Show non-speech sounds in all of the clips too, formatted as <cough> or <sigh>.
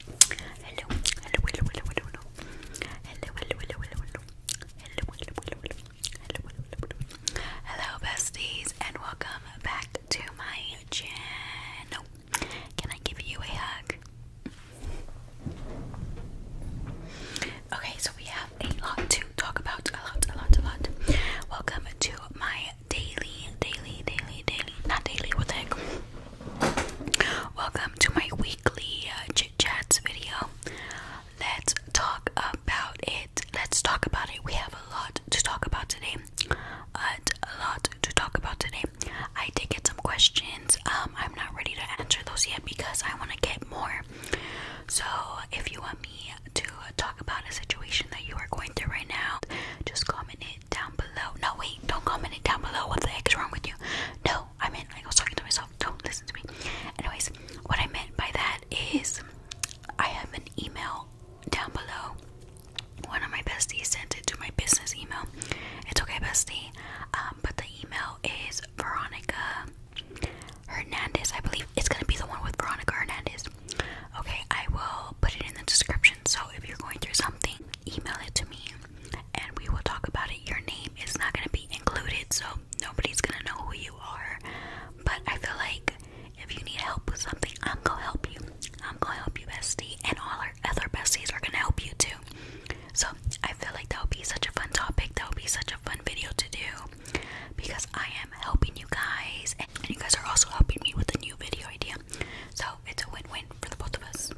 Hello, hello, hello, hello, hello, hello. Hello, hello, hello, hello, hello. Hello, hello, hello, hello. Hello, hello, hello, hello. Hello, besties, and welcome back to my channel. Can I give you a hug? Okay, so we have a lot to talk about. A lot, a lot, a lot. Welcome to my daily, daily, daily, daily, not daily, what the heck? Welcome to my weekly uh, chit chats video. Let's talk about it. Let's talk about it. We have a lot to talk about today. But a lot to talk about today. I did get some questions. Um, I'm not ready to answer those yet because I want to get more. So if you want me to talk about a situation that you are going through right now, just comment down below. No, wait, don't comment it down below. What the heck is wrong with you? No, I meant like I was talking to myself. Don't listen to me. Anyways, what I meant by that is I have an email down below. One of my besties sent it to my business email. It's okay, bestie. Um, but the email is Veronica Hernandez, I believe. It's gonna be the one with Veronica Hernandez. Okay, I will put it in the description. So if you're going through something email it to me and we will talk about it. Your name is not going to be included, so nobody's going to know who you are. But I feel like if you need help with something, I'm going to help you. I'm going to help you, bestie, and all our other besties are going to help you too. So I feel like that would be such a fun topic. That would be such a fun video to do because I am helping you guys, and you guys are also helping me with a new video idea. So it's a win-win for the both of us.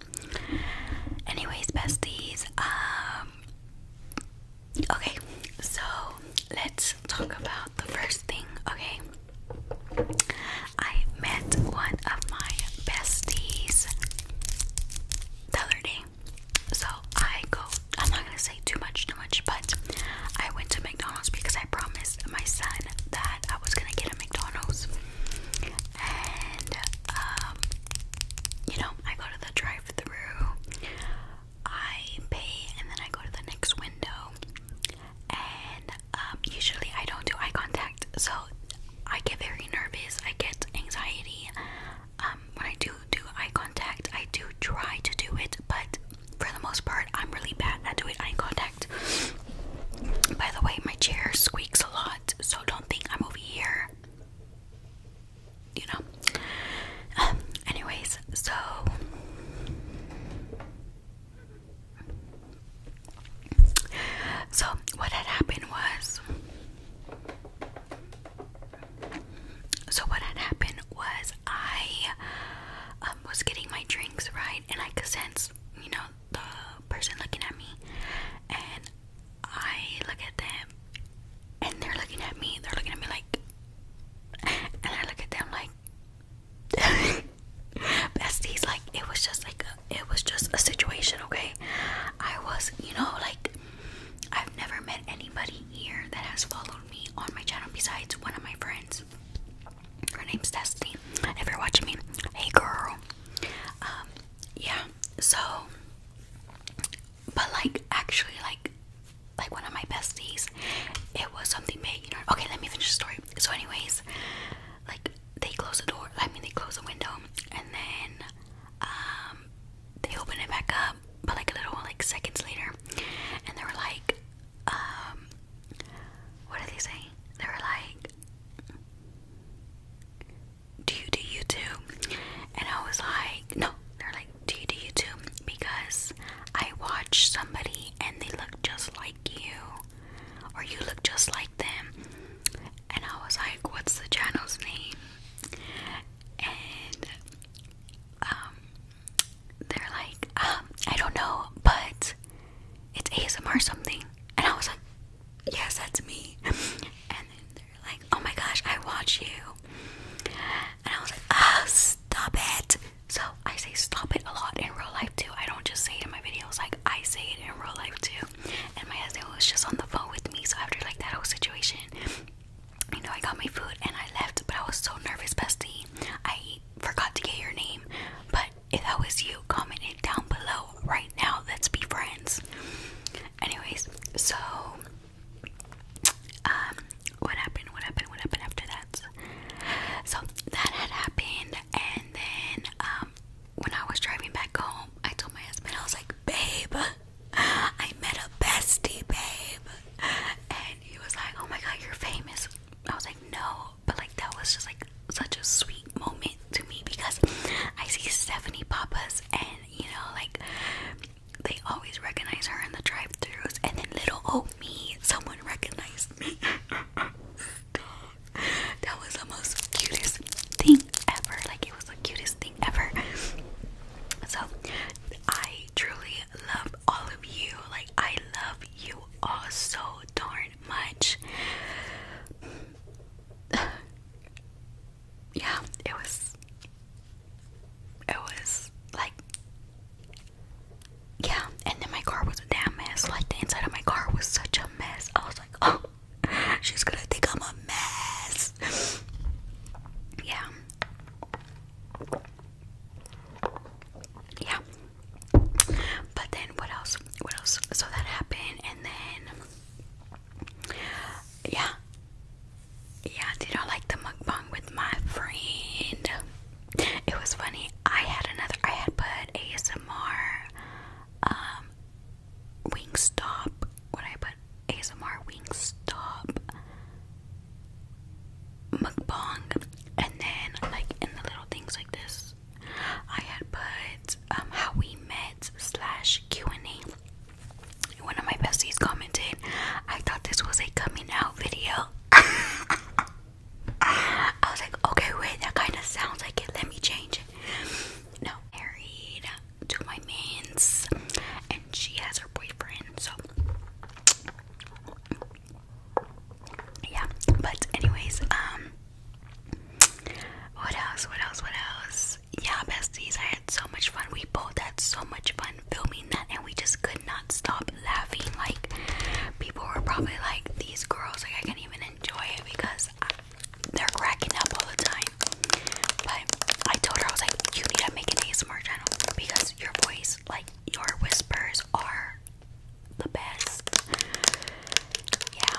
Anyways, besties, um Okay, so let's talk about the first thing, okay? I met one of my besties the other day. So I go, I'm not gonna say too much, too much, but I went to McDonald's because I promised my son that I was gonna get a McDonald's, and um, you know, I go to the drive-through, I pay, and then I go to the next window, and um, usually I don't do eye contact, so I get very nervous. I get anxiety um, when I do do eye contact. I do try to do it, but for the most part, I'm really bad at doing eye contact. By the way, my chair squeaks a lot, so don't think I'm over here. You know. Um, anyways, so so what had happened was so what had happened was I um, was getting my drinks right, and I could sense, you know, the person looking at me, and I look at them, and they're looking at me. They're looking at me like, and I look at them like, <laughs> besties. Like it was just like it was just a situation. Okay, I was, you know, like I've never met anybody here that has followed me on my channel besides one of my friends. Her name's Destiny. If you're watching me, hey girl. Um, yeah. So, but like actually, like, like one of my besties, it was something big. You know. Okay, let me finish the story. So, anyways, like they close the door. I mean, they close the window, and then um, they open it back up. But like a little like seconds later, and they were like, um, what did they say? They were like, do you do YouTube? And I was like, no. They're like, do you do YouTube? Because I watch somebody and they look just like you, or you look just like them. And I was like, what's the channel's name? And um, they're like, um, I don't know, but it's ASMR something. And I was like, yes, that's me. and they're like, oh my gosh, I watch you. And I was like, ah, stop it. So I say stop it a lot in real life too. I don't just say it in my videos, like I say it in real life too. And my husband was just on the phone with me, so after like that whole situation, you know, I got my food and I left, but I was so nervous, bestie. I forgot to get your name, but if that was you, comment it down below right now. Let's be friends. Anyways, so um, what happened? What happened? What happened after that? So that had happened, and then um, when I was driving back home, I told my husband, I was like, "Babe, I met a bestie, babe," he was like, "Oh my God, you're famous." I was like, "No," but like that was just like such a sweet moment to me because I see Stephanie Papas, and you know, like they always recognize her in the drive-throughs, and then little oh me, someone recognized me. <laughs> that was the most cutest thing ever. Like it was the cutest thing ever. So I truly love all of you. Like, I love you all so darn much. <sighs> yeah, it was. It was like. Yeah, and then my car was a damn mess. Like, the inside of my car was such a mess. I was like, oh, she's gonna think I'm a mess. <sighs> yeah yeah but then what else what else so that happened and then yeah yeah did I like the mukbang with my friend it was funny I had another I had put ASMR um, Wingstop what I put but ASMR Wingstop mukbang, and then like in the little things like this, I had put um, how we met slash Q and A. One of my besties commented, "I thought this was a coming out video." <laughs> I was like, okay, wait, that kind of sounds like it. Let me change it. No, married to my man's, and she has her boyfriend. So yeah, but anyways, um, what else? What else? What else? Yeah, besties, I had so much fun. We both had so much fun filming that, and we just could not stop laughing. Like people were probably like, "These girls, like I can't even enjoy it because." Uh, they're cracking up all the time. But I told her I was like, you need to make an ASMR channel because your voice, like your whispers, are the best. Yeah.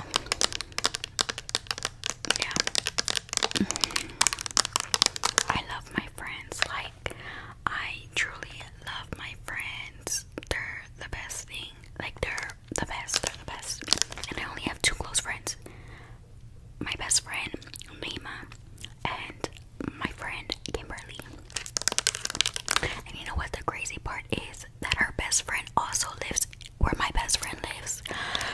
Yeah. Mm-hmm. I love my friends. Like, I truly love my friends. They're the best thing. Like, they're the best. They're the best. And I only have two close friends my best friend Nima and my friend Kimberly. And you know what the crazy part is that our best friend also lives where my best friend lives.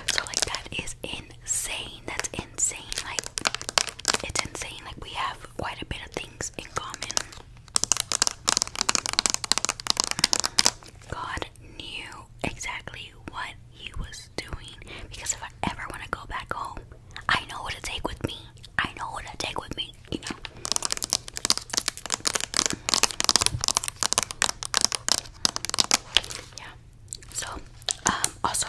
So like that is insane. That's insane. Like it's insane. Like we have quite a bit of things in common. God, knew exactly what he was doing because if I ever want to go back home, I know what to take with me. I know what to take with me, you know. Yeah. So, um, also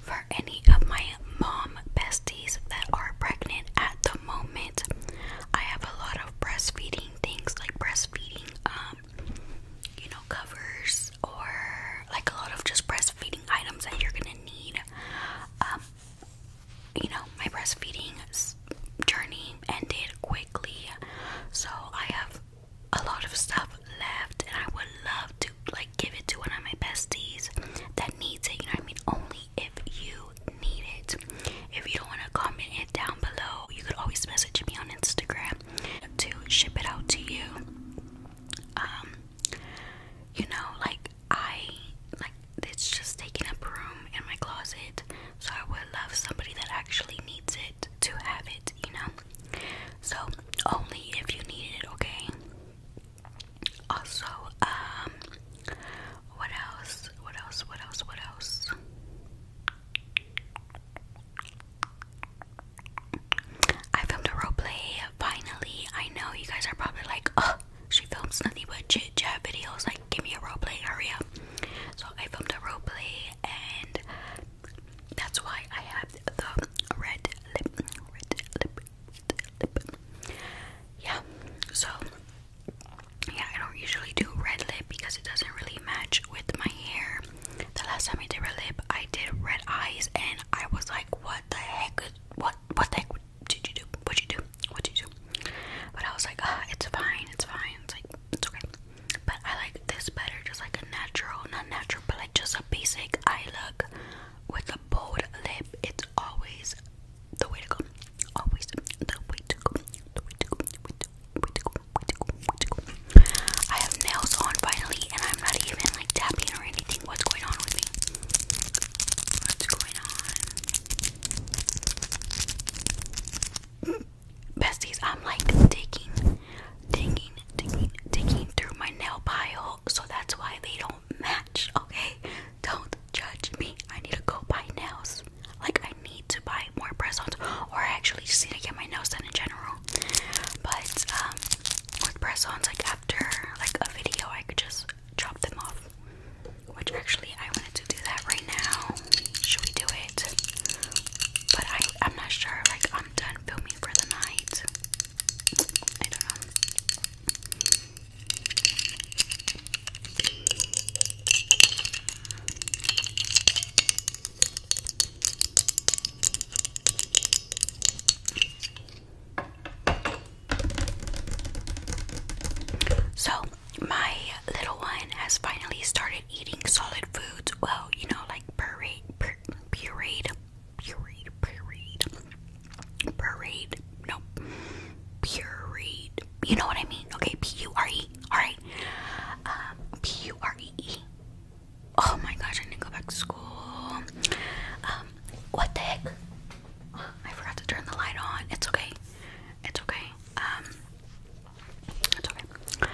for any of my mom besties that are pregnant at the moment, I have a lot of breastfeeding things like breastfeeding um, you know covers or like a lot of just breastfeeding items that you're gonna need um, you know my breastfeeding journey ended quickly so i have a lot of stuff left and i would love to like give it to one of my besties that needs it you know i mean only if you you need it. If you don't want to comment it down below, you could always message me on Instagram to ship it out to you. Um, you know, like I like it's just taking up room in my closet, so I would love somebody that actually needs it to have it, you know. So only if you need it, okay. Also, um what else? What else? What else? What else? I filmed a roleplay finally. I know you guys are probably like, oh, she films nothing but chit chat videos. Like, give me a role play, hurry up. So, I filmed a roleplay, and that's why I have the red Red lip. Red lip. Yeah, so yeah, I don't usually do red lip because it doesn't really match with my hair. The last time I did red lip, I did red eyes, and I was like, "What the heck? What? What the did you do? What you do? What you do?" But I was like, "Ah, it's fine. It's fine. It's like it's okay." But I like this better, just like a natural, not natural, but like just a basic eye look with a bold lip. It's always the way to go. Always the way to go. The way to go. The way to, way to go. Way to go. Way to go. I have nails on finally, and I'm not even like tapping or anything. What's going on with me? What's going on? Besties, I'm like digging, digging, digging, digging through my nail pile, so that's why they don't match, okay? Don't judge me. I need to go buy nails. Like I need to buy more press-ons, or I actually just need to get my nails done in general. But um, with press-ons, like after like a video, I could just chop them off. Which actually, I wanted to do that right now. Should we do it? But I, I'm not sure. Like I'm done filming for the night. I don't know. So, my little one has finally started eating solid foods. Well, you know, like puree, pur pureed, pureed, pureed Parade. Nope. Pureed. You know what I mean? Okay, P U R E. Alright. Um, Oh my gosh, I need to go back to school. Um, what the heck? I forgot to turn the light on. It's okay. It's okay. Um, it's okay.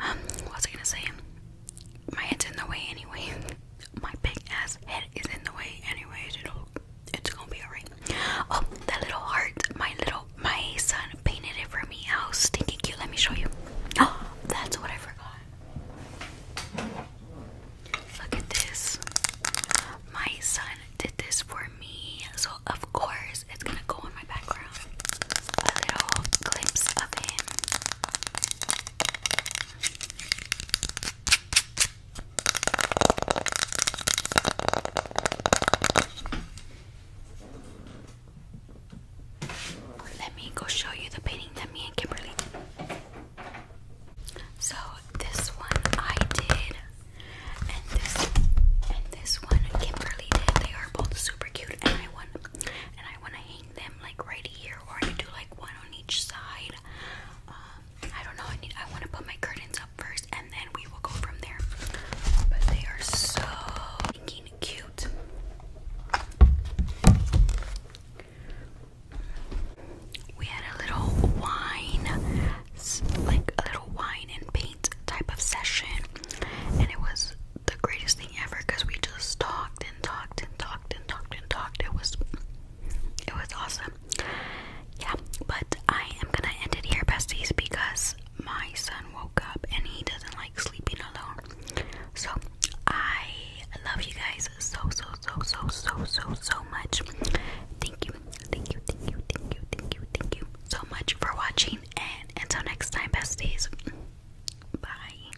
Um, what was I gonna say? My head's in the way anyway. <laughs> My big ass head is in the way anyways. It'll it's gonna be alright. Oh, that little heart. My little my son painted it for me. How stinky cute. Let me show you. Oh, that's what I forgot. Look at this. My son did this for me. So of course it's gonna go in my background. A little glimpse of him. Let me go show you the painting that me and Kimberly did. So this one I did, and this and this one Kimberly did. They are both super cute, and I want and I want to hang them like right here, or I could do like one on each side. Um, I don't know. I need. I want to put my curtains up first, and then we will go from there. But they are so cute. We had a little wine, like a little wine and paint type of session, and it was the greatest thing ever because we just talked and talked and talked and talked and talked. It was it was awesome. Yeah, but I am gonna end it here, besties, because my son woke up and he doesn't like sleeping alone. So I love you guys so so so so so so so much. Thank you, thank you, thank you, thank you, thank you, thank you so much for watching and until next time besties. Bye.